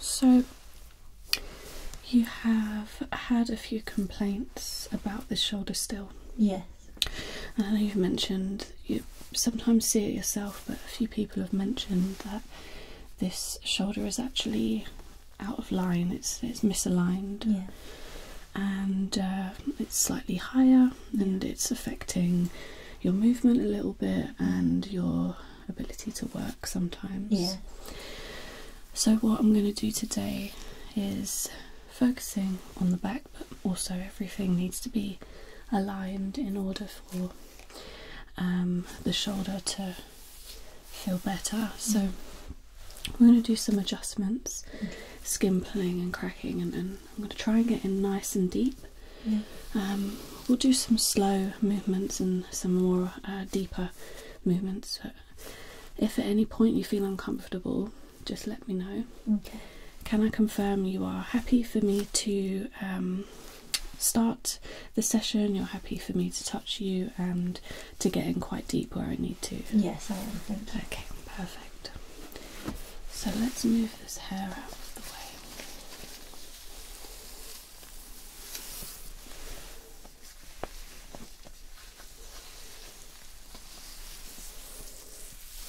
So, you have had a few complaints about this shoulder still. Yes. I know you've mentioned you sometimes see it yourself, but a few people have mentioned that this shoulder is actually out of line. It's it's misaligned. And uh, it's slightly higher, and it's affecting your movement a little bit and your ability to work sometimes. Yeah. So, what I'm going to do today is focusing on the back, but also everything needs to be aligned in order for um, the shoulder to feel better. So, we're going to do some adjustments, mm. skin pulling and cracking, and I'm going to try and get in nice and deep. Um, we'll do some slow movements and some more uh, deeper movements. if at any point you feel uncomfortable, just let me know. Can I confirm you are happy for me to um, start the session? You're happy for me to touch you and to get in quite deep where I need to? Yes, I am. Okay, perfect. So let's move this hair out of the way.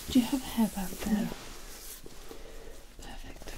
Do you have a hairband there? Perfect.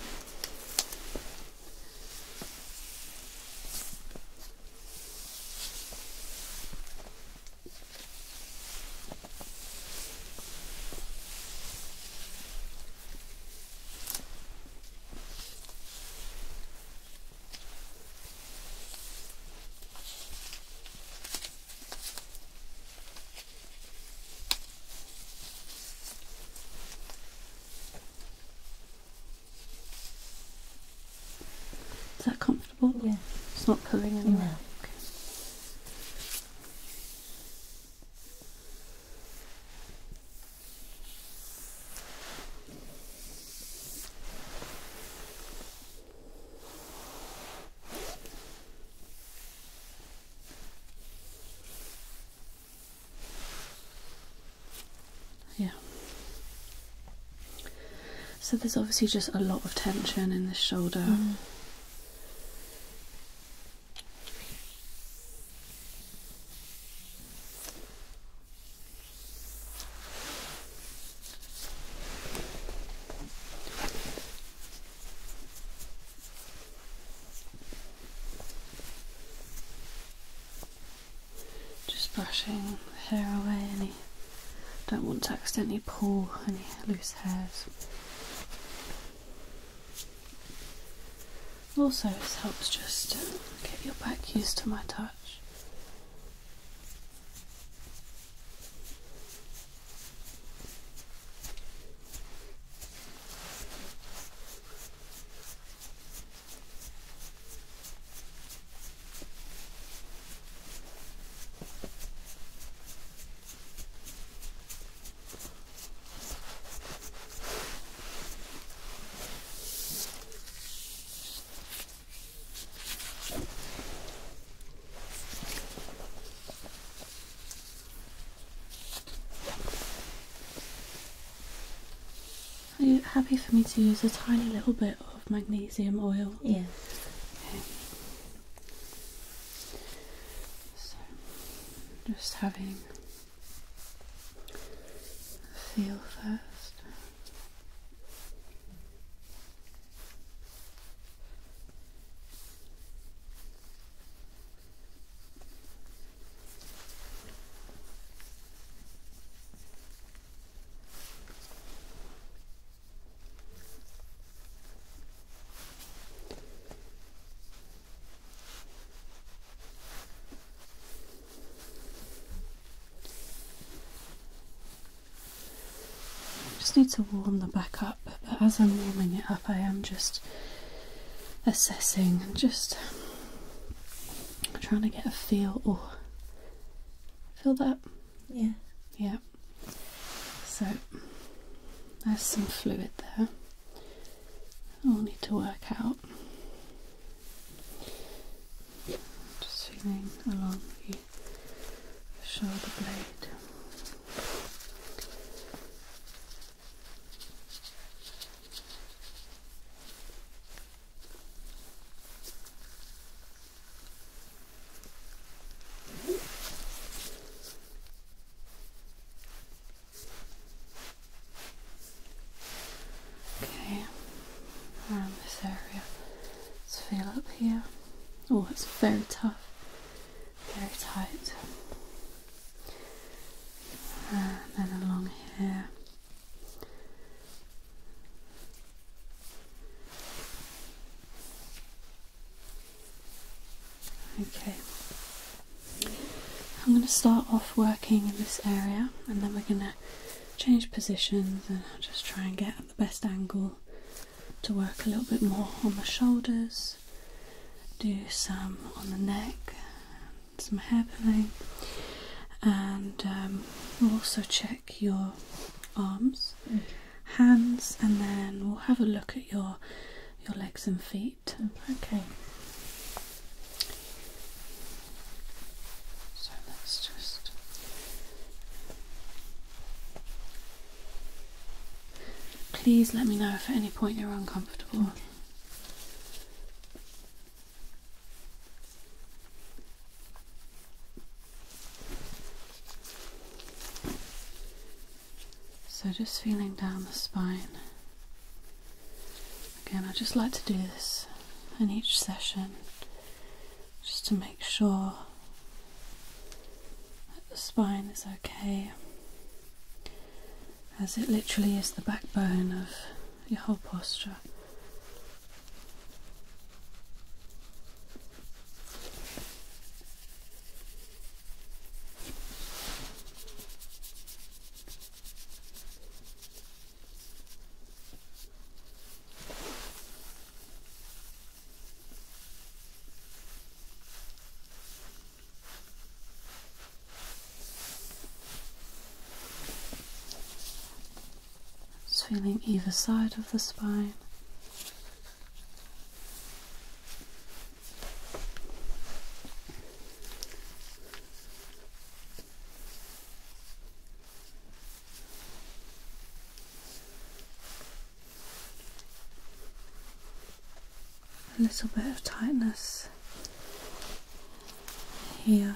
Is that comfortable? Yeah. It's not pulling anymore. Yeah. So there's obviously just a lot of tension in this shoulder. Mm. Just brushing the hair away, any don't want to accidentally pull any loose hairs. Also, this helps just get your back used to my touch. Are you happy for me to use a tiny little bit of magnesium oil? Yes. Okay. just having Feel first just need to warm the back up but as I'm warming it up I am just assessing and just trying to get a feel or oh, feel that yeah yeah so there's some fluid there I'll need to work out. Just feeling along the shoulder blade. Okay, around this area. Let's feel up here. Oh, it's very tough, very tight. And then along here. Okay. I'm going to start off working in this area and then we're going to change positions and just try and get the best angle to work a little bit more on the shoulders, do some on the neck, some hair pulling, and um, we'll also check your arms, hands, and then we'll have a look at your your legs and feet. Okay. So let's just Please let me know if at any point you're uncomfortable. So just feeling down the spine. Again, I just like to do this in each session just to make sure that the spine is okay as it literally is the backbone of your whole posture. Feeling either side of the spine, a little bit of tightness here.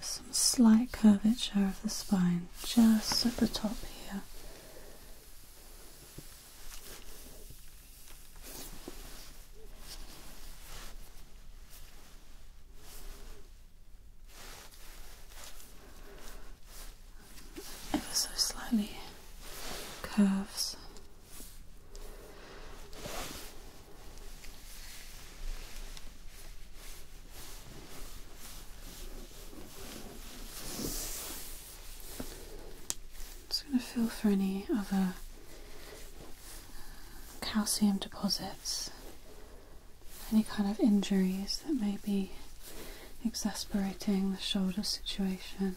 Some slight curvature of the spine just at the top here. Ever so slightly curves just going to feel for any other calcium deposits, any kind of injuries that may be exacerbating the shoulder situation.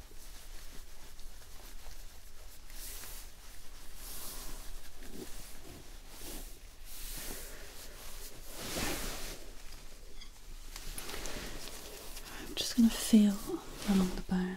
I'm just going to feel along the bone.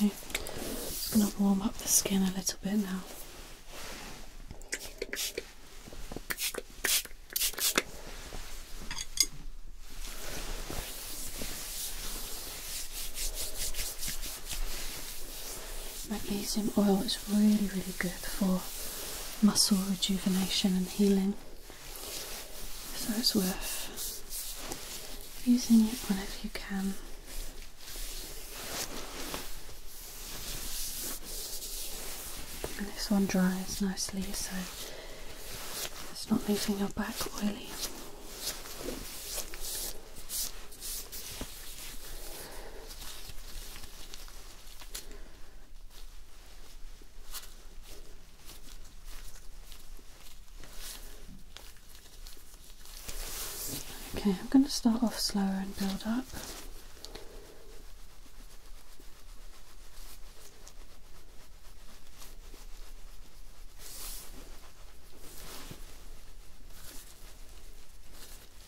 Okay, just going to warm up the skin a little bit now. Magnesium oil really, really good for muscle rejuvenation and healing. So it's worth using it whenever you can. this one dries nicely, so it's not leaving your back oily. Okay, I'm going to start off slower and build up.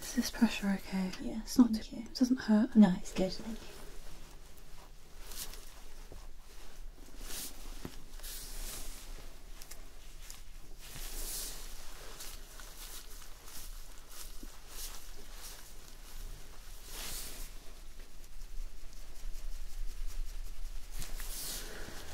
Is this pressure okay? Yeah, it's not. too. you. It doesn't hurt. No, it's good.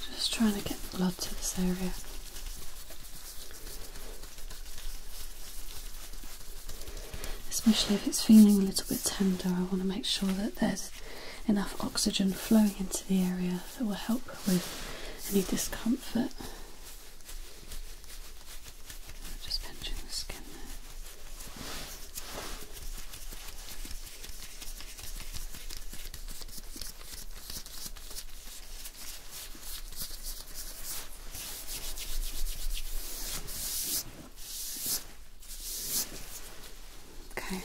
I'm just trying to get blood to this area. Especially if it's feeling a little bit tender, I want to make sure that there's enough oxygen flowing into the area that will help with any discomfort. Just pinching the skin there. Okay.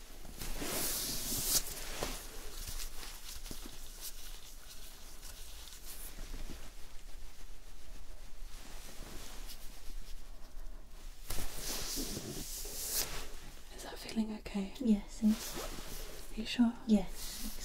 Is that feeling okay? Yes. Thanks. Are you sure? Yes. Thanks.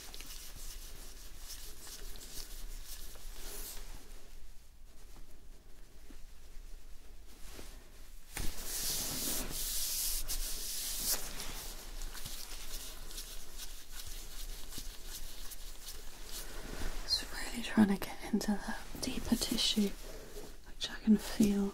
It's really trying to get into that deeper tissue, which I can feel.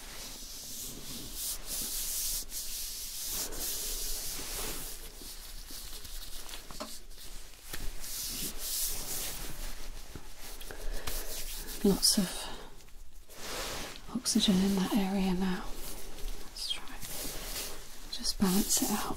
Lots of oxygen in that area now. Let's try just balance it out.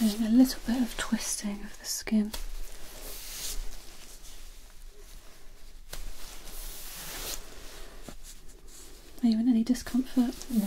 Just doing a little bit of twisting of the skin. Are you in any discomfort? No.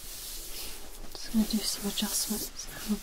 Just going to do some adjustments um,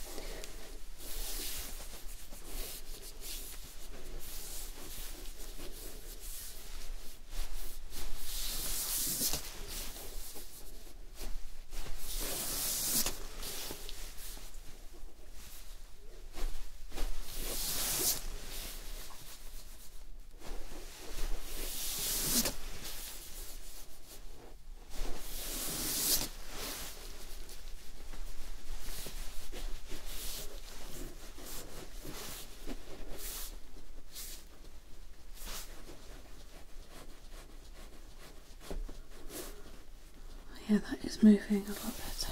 yeah, that is moving a lot better.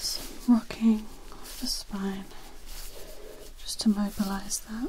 Some rocking of the spine just to mobilize that.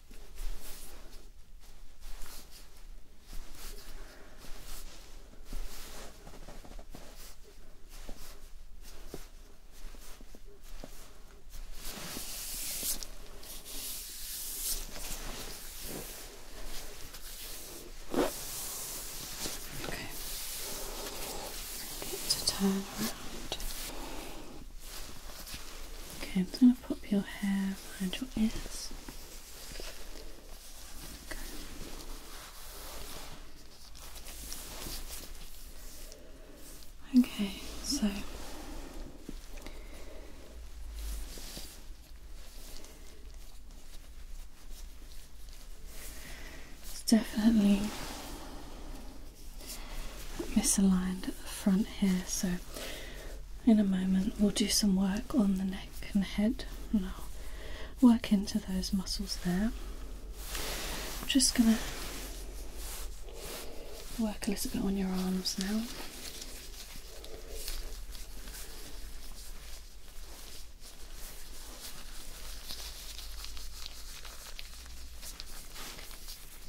Okay. Get to turn around. Okay, pop your hair around your ears. Okay, so it's definitely misaligned at the front here, so in a moment we'll do some work on the neck and head and I'll work into those muscles there. I'm just going to work a little bit on your arms now.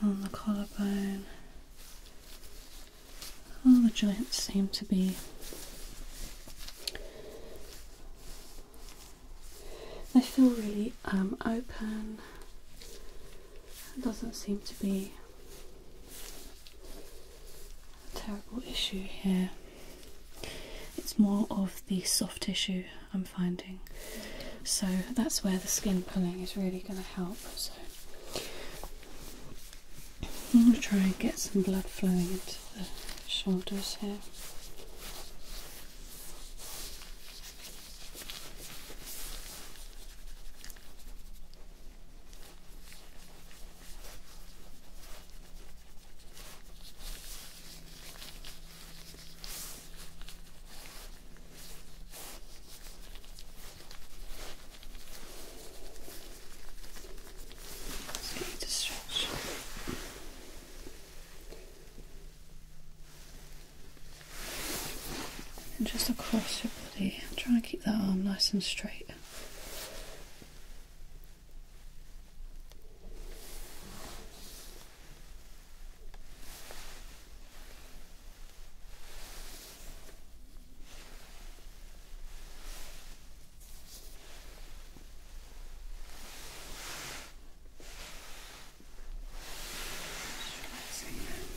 on the collarbone, all the joints seem to be they feel really um, open. doesn't seem to be terrible issue here. It's more of the soft tissue I'm finding, so that's where the skin pulling is really going to help. So I'm going to try and get some blood flowing into the shoulders here. Just to stretch and just across your body. Try and keep that arm nice and straight.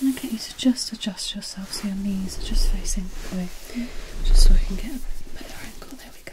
I get you to just adjust yourself so your knees are just facing away, just so we can get a better angle. There we go.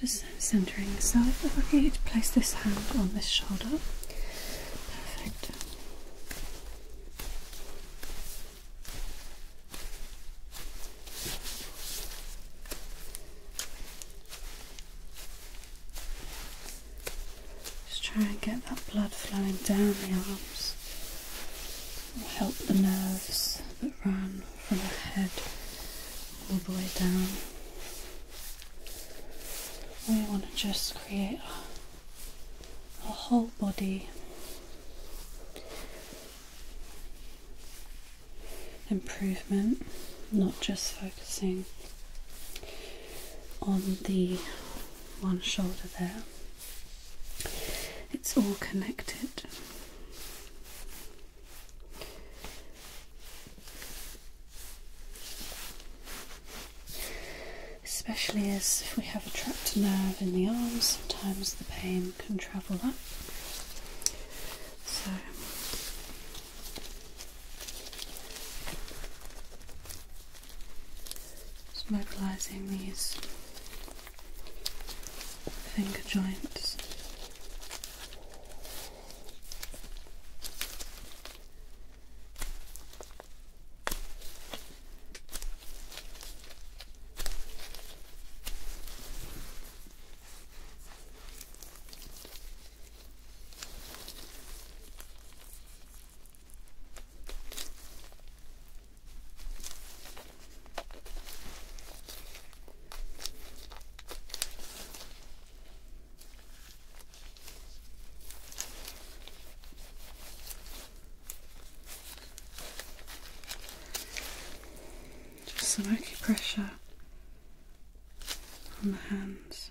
Just centering. So if I could place this hand on this shoulder. Perfect. Just try and get that blood flowing down the arms. It'll help the nerves that run from the head all the way down. We want to just create a whole body improvement, not just focusing on the one shoulder there. It's all connected. Especially as if we have a trapped nerve in the arm, sometimes the pain can travel up. So Mobilizing these finger joints. Just some acupressure on the hands.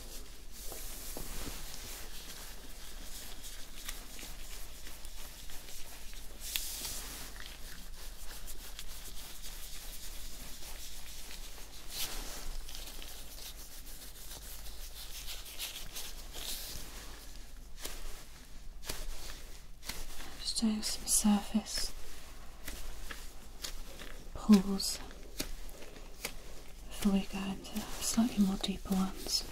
Just doing some surface pulls before we go into slightly more deeper ones.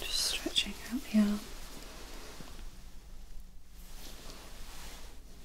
Just stretching out the arm.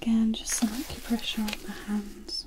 Again, just some acupressure on the hands.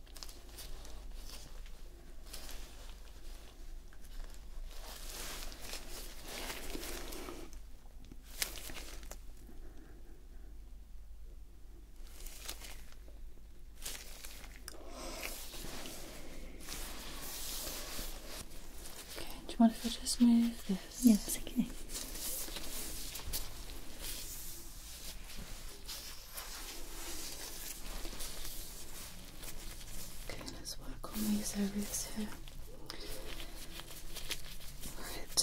Okay, do you want if I just move this? Yes, okay. Okay, let's work on these areas here. Right.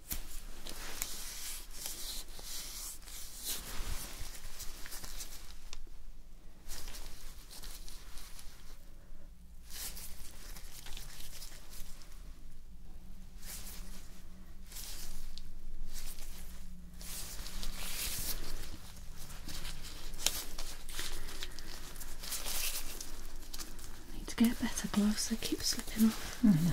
Need to get better gloves, they keep slipping off. Mm.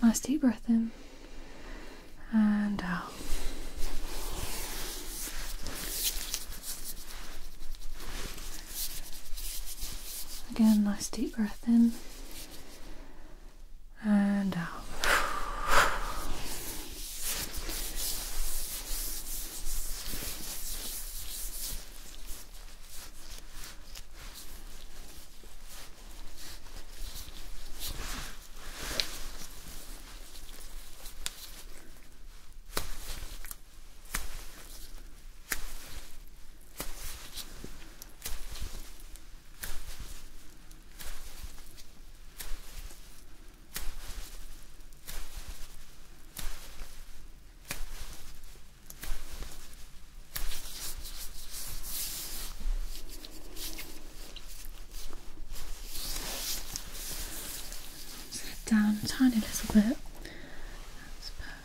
Nice deep breath in and out. Again, nice deep breath in and out. Sit down a little bit. That's perfect.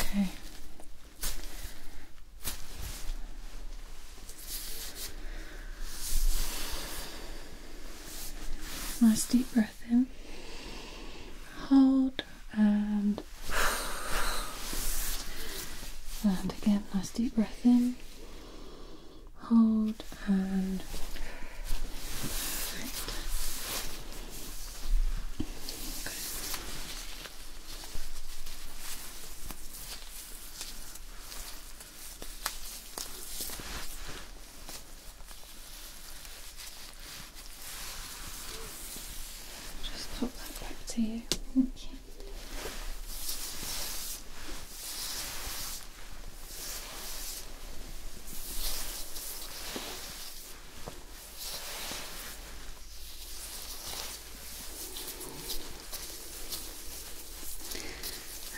Okay. Nice deep breath in. Hold and and again, nice deep breath in hold and Just pop that back to you. Thank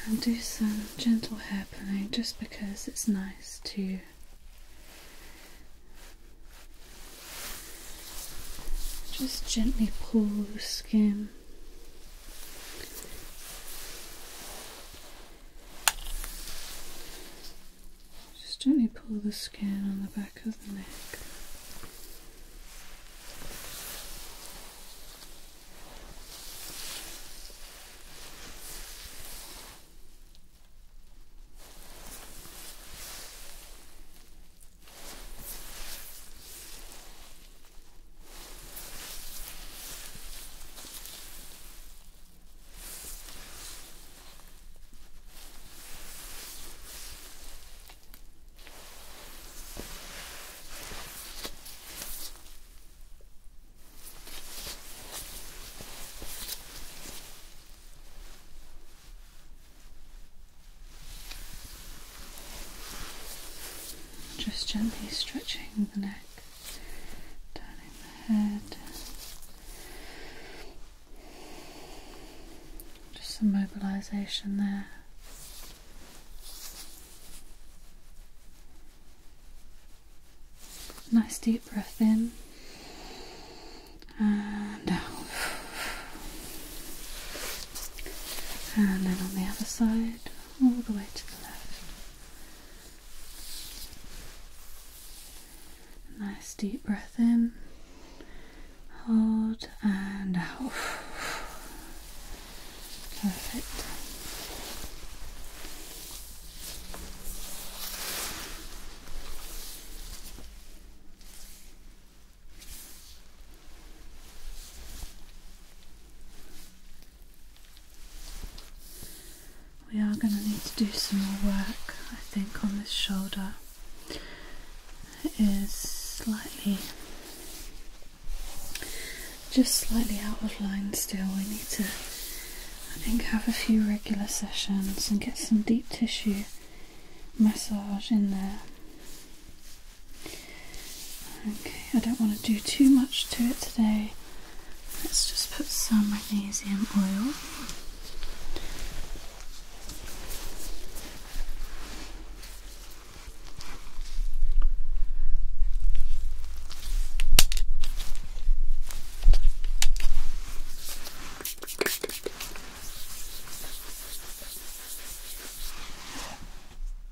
and do some gentle hair pulling just because it's nice to just gently pull the skin just gently pull the skin on the back of the neck. Just gently stretching the neck turning the head. Just some mobilization there. Nice deep breath in and out. And then on the other side, all the way to the left. Nice deep breath in, hold and out. Perfect we are going to need to do some more work I think on this shoulder. It is slightly, just slightly out of line still. We need to, I think, have a few regular sessions and get some deep tissue massage in there. Okay, I don't want to do too much to it today Let's just put some magnesium oil.